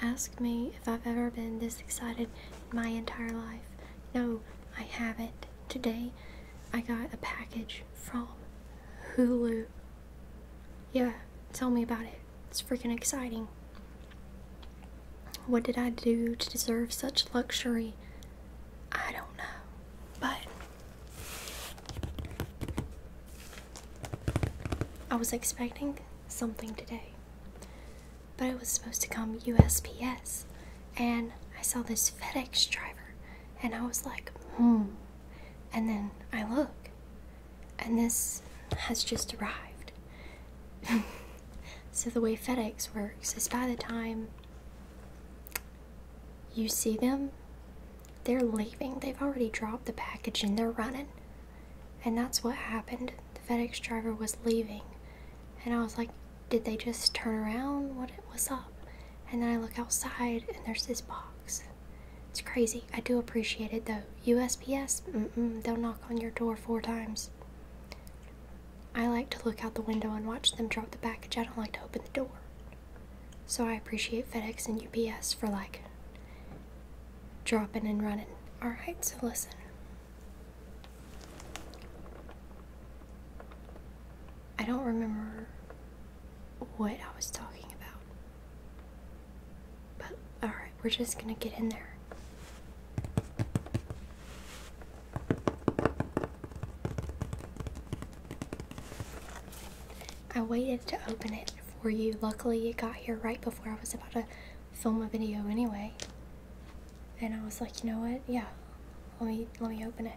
Ask me if I've ever been this excited in my entire life. No, I haven't. Today, I got a package from Hulu. Yeah, tell me about it. It's freaking exciting. What did I do to deserve such luxury? I don't know. But I was expecting something today. But it was supposed to come USPS, and I saw this FedEx driver, and I was like, hmm. And then I look, and this has just arrived. so, the way FedEx works is by the time you see them, they're leaving. They've already dropped the package and they're running. And that's what happened. The FedEx driver was leaving. And I was like, did they just turn around? What was up? And then I look outside and there's this box. It's crazy. I do appreciate it though. USPS, mm they'll knock on your door four times. I like to look out the window and watch them drop the package. I don't like to open the door. So I appreciate FedEx and UPS for like dropping and running. Alright, so listen. I don't remember what I was talking about. But alright, we're just gonna get in there. I waited to open it for you. Luckily, it got here right before I was about to film a video anyway. And I was like, you know what? Yeah, let me let me open it.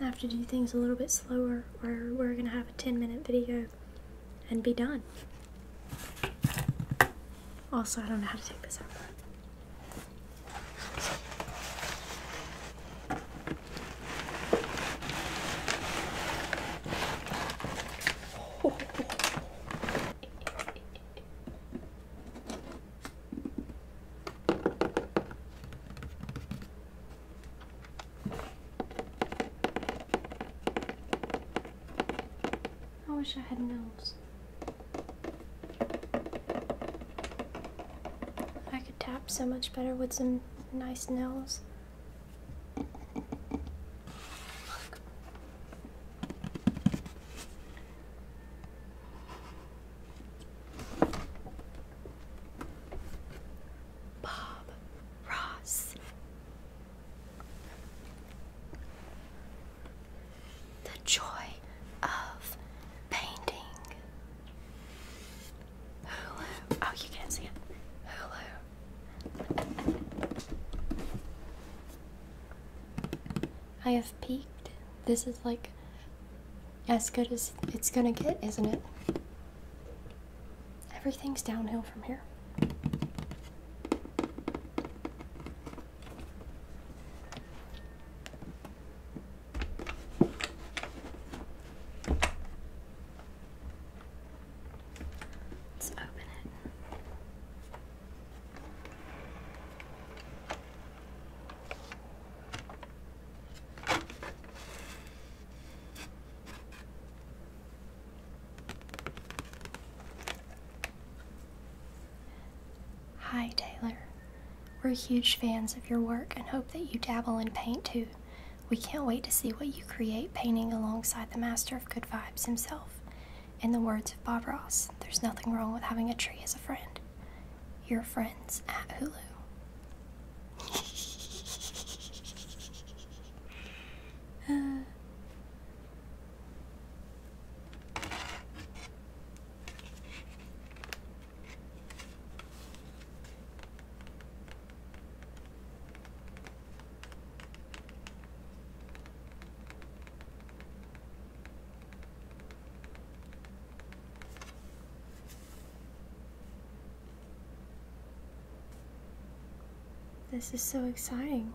I have to do things a little bit slower or we're going to have a 10 minute video and be done. Also, I don't know how to take this out. I wish I had nails. I could tap so much better with some nice nails. Bob Ross. The joy of painting. Hulu. Oh, you can't see it. Hulu. I have peaked. This is like as good as it's gonna get, isn't it? Everything's downhill from here. Let's open it. Hi, Taylor. We're huge fans of your work and hope that you dabble in paint too. We can't wait to see what you create painting alongside the master of good vibes himself. In the words of Bob Ross, there's nothing wrong with having a tree as a friend. Your friends at Hulu. uh. This is so exciting.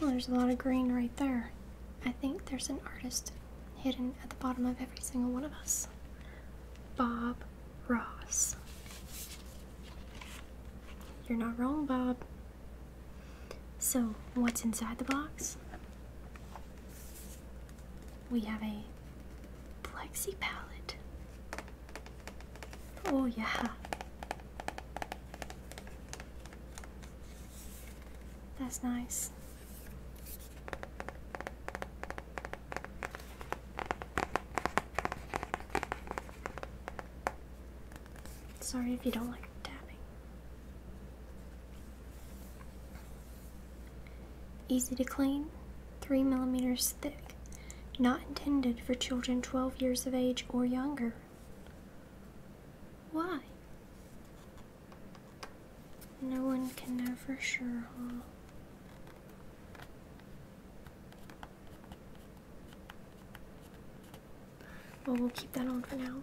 Well, there's a lot of green right there. I think there's an artist hidden at the bottom of every single one of us. Bob Ross. You're not wrong, Bob. So, what's inside the box? We have a plexi palette. Oh, yeah. That's nice. Sorry if you don't like tapping. Easy to clean, 3 millimeters thick, not intended for children 12 years of age or younger. Why? No one can know for sure, huh? Well, we'll keep that on for now.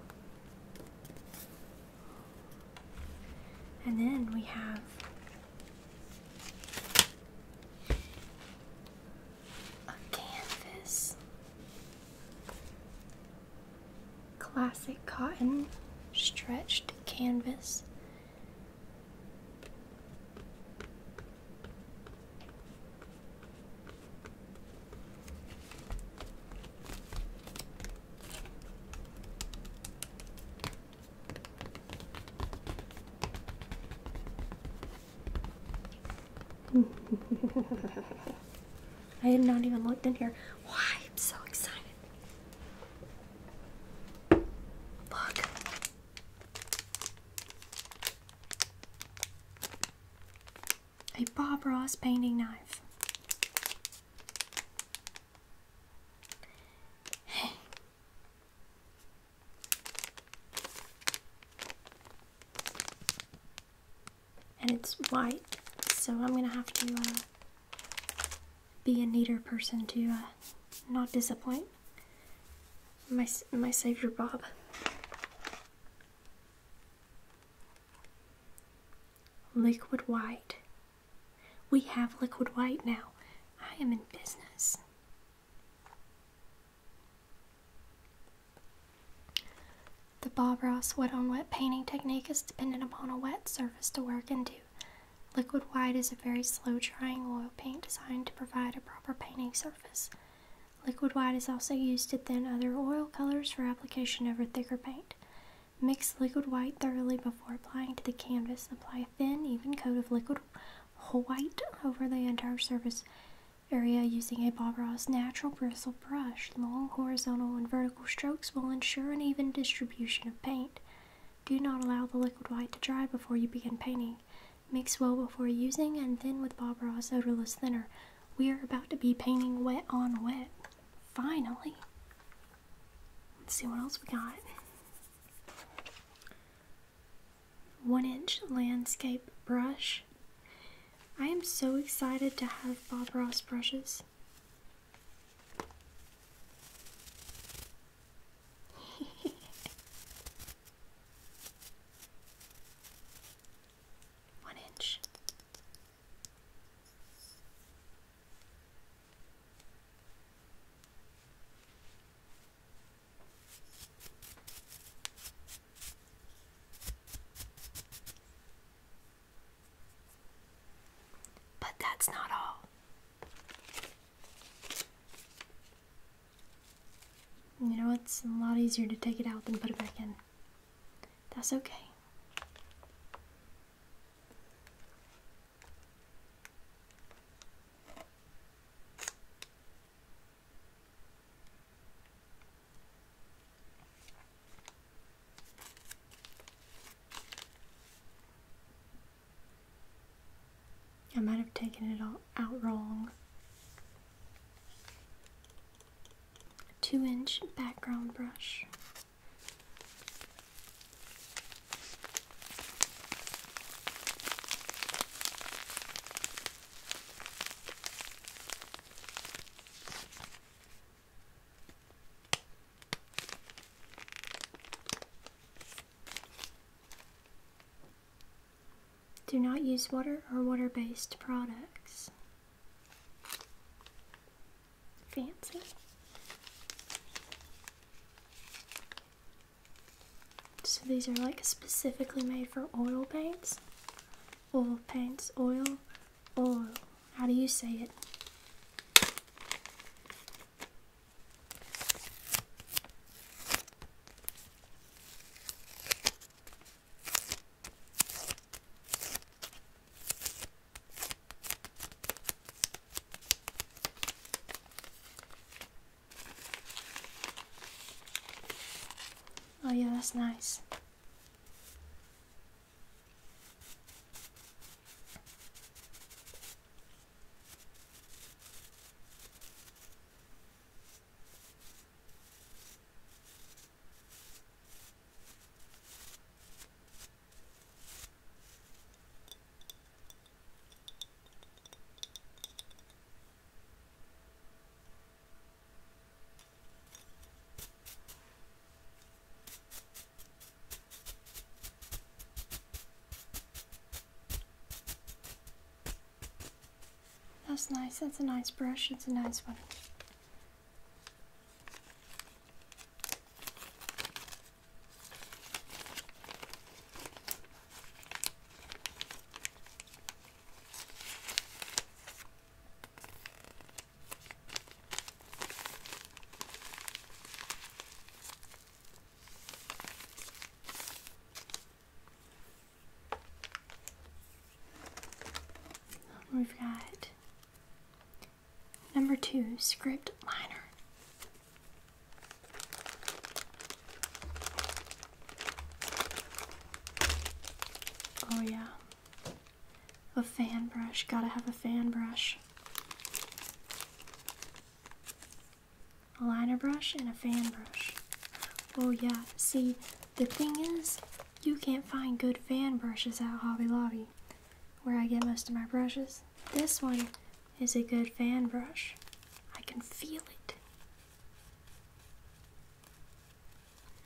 And then we have a canvas. Classic cotton stretched canvas. I had not even looked in here. Why? I'm so excited. Look. A Bob Ross painting knife. Hey, and it's white, so I'm gonna have to uh, be a neater person to uh, not disappoint my, my savior Bob. Liquid white we have liquid white now. I am in business. The Bob Ross wet on wet painting technique is dependent upon a wet surface to work into. Liquid white is a very slow drying oil paint designed to provide a proper painting surface. Liquid white is also used to thin other oil colors for application over thicker paint. Mix liquid white thoroughly before applying to the canvas apply thin, even coat of liquid white over the entire surface area using a Bob Ross natural bristle brush. Long horizontal and vertical strokes will ensure an even distribution of paint. Do not allow the liquid white to dry before you begin painting. Mix well before using and thin with Bob Ross odorless thinner. We are about to be painting wet on wet. Finally. Let's see what else we got one inch landscape brush. I am so excited to have Bob Ross brushes. one inch. But that's not all. You know, it's a lot easier to take it out than put it back in. That's okay. I might have taken it all out wrong. Two inch background brush. Do not use water or water based products. Fancy. So these are like specifically made for oil paints. Oil paints, oil, oil. How do you say it? Oh yeah, that's nice. That's nice, that's a nice brush, it's a nice one. We've got Number two, script liner. Oh, yeah. A fan brush. Gotta have a fan brush. A liner brush and a fan brush. Oh, yeah. See, the thing is, you can't find good fan brushes at Hobby Lobby, where I get most of my brushes. This one is a good fan brush. I can feel it.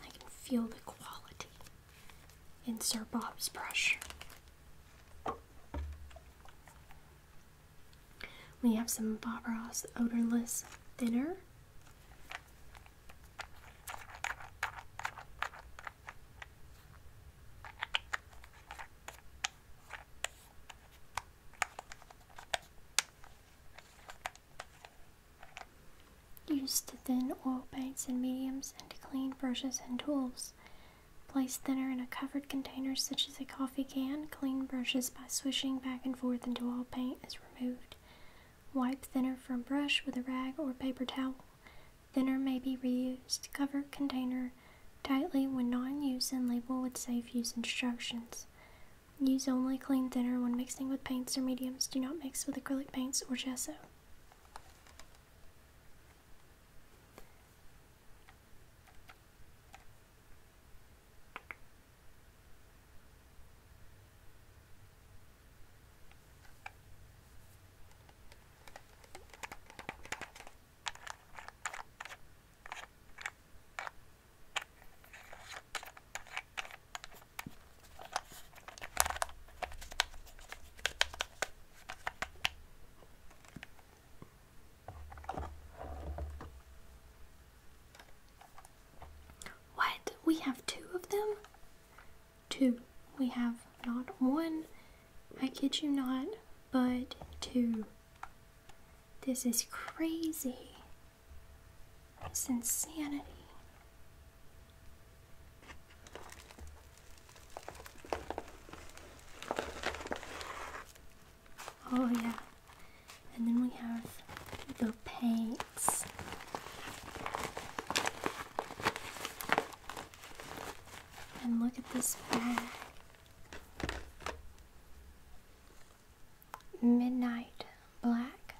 I can feel the quality in Sir Bob's brush. We have some Bob Ross odorless thinner. Use to thin oil paints and mediums and to clean brushes and tools. Place thinner in a covered container such as a coffee can. Clean brushes by swishing back and forth until all paint is removed. Wipe thinner from brush with a rag or paper towel. Thinner may be reused. Cover container tightly when not in use and label with safe use instructions. Use only clean thinner when mixing with paints or mediums. Do not mix with acrylic paints or gesso. What? We have two of them? Two. We have not one, I kid you not, but two. This is crazy. It's insanity. Oh, yeah. And then we have the paints. And look at this bag. Midnight black.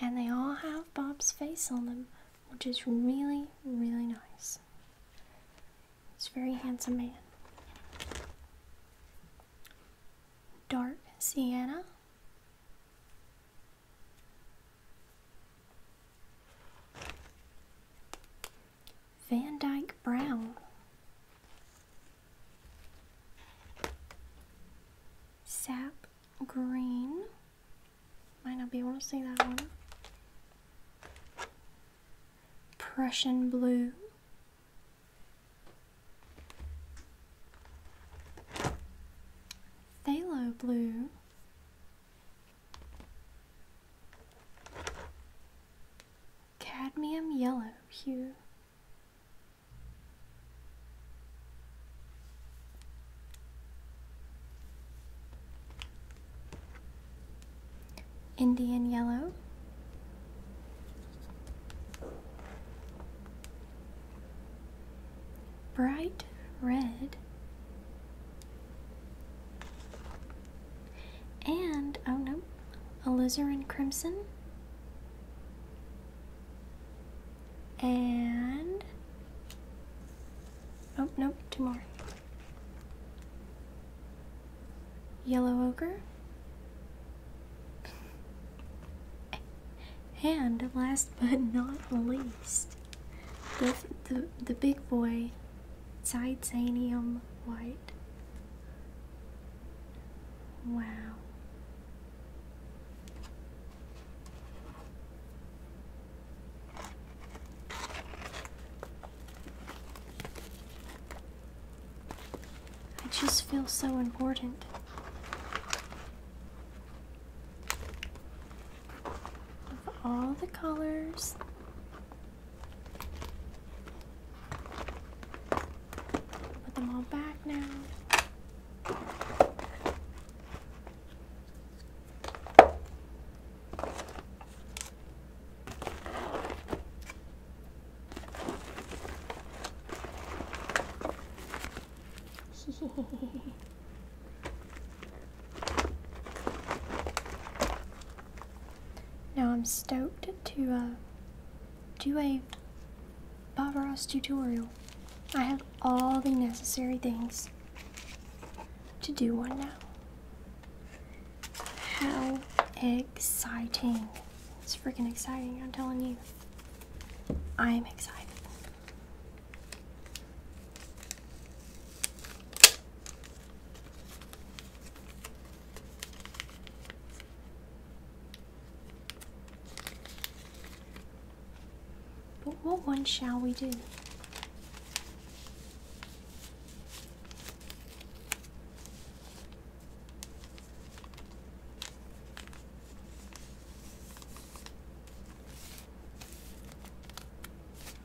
And they all have Bob's face on them, which is really, really nice. It's a very handsome man. Dark sienna. Van Dyke Brown. Sap Green. Might not be able to see that one. Prussian Blue. Phthalo Blue. Cadmium yellow hue. Indian yellow. Bright red. And, oh no, alizarin crimson. And, oh nope, two more. Yellow ochre. And last but not least, the, the, the big boy titanium white. Wow. I just feel so important of all the colors. Put them all back now. Now I'm stoked to uh, do a Bob Ross tutorial. I have all the necessary things to do one now. How exciting. It's freaking exciting, I'm telling you. I'm excited. But what one shall we do?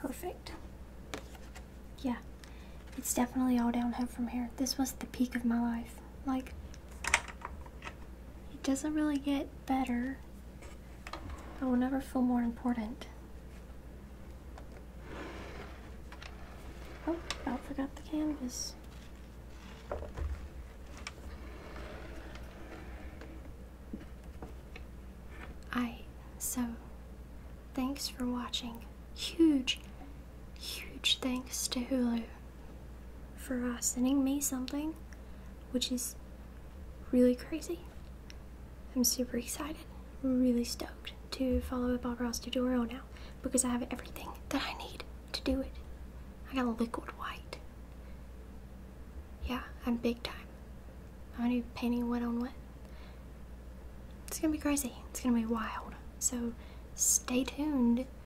Perfect. Yeah, it's definitely all downhill from here. This was the peak of my life. Like, it doesn't really get better. I oh, will never feel more important. Oh, I forgot the canvas. I so thanks for watching. Huge, huge thanks to Hulu for uh, sending me something, which is really crazy. I'm super excited, really stoked to follow up Bob Ross tutorial now because I have everything that I need to do it. I got a liquid white. Yeah, I'm big time. I'm gonna be painting wet on wet. It's gonna be crazy. It's gonna be wild. So stay tuned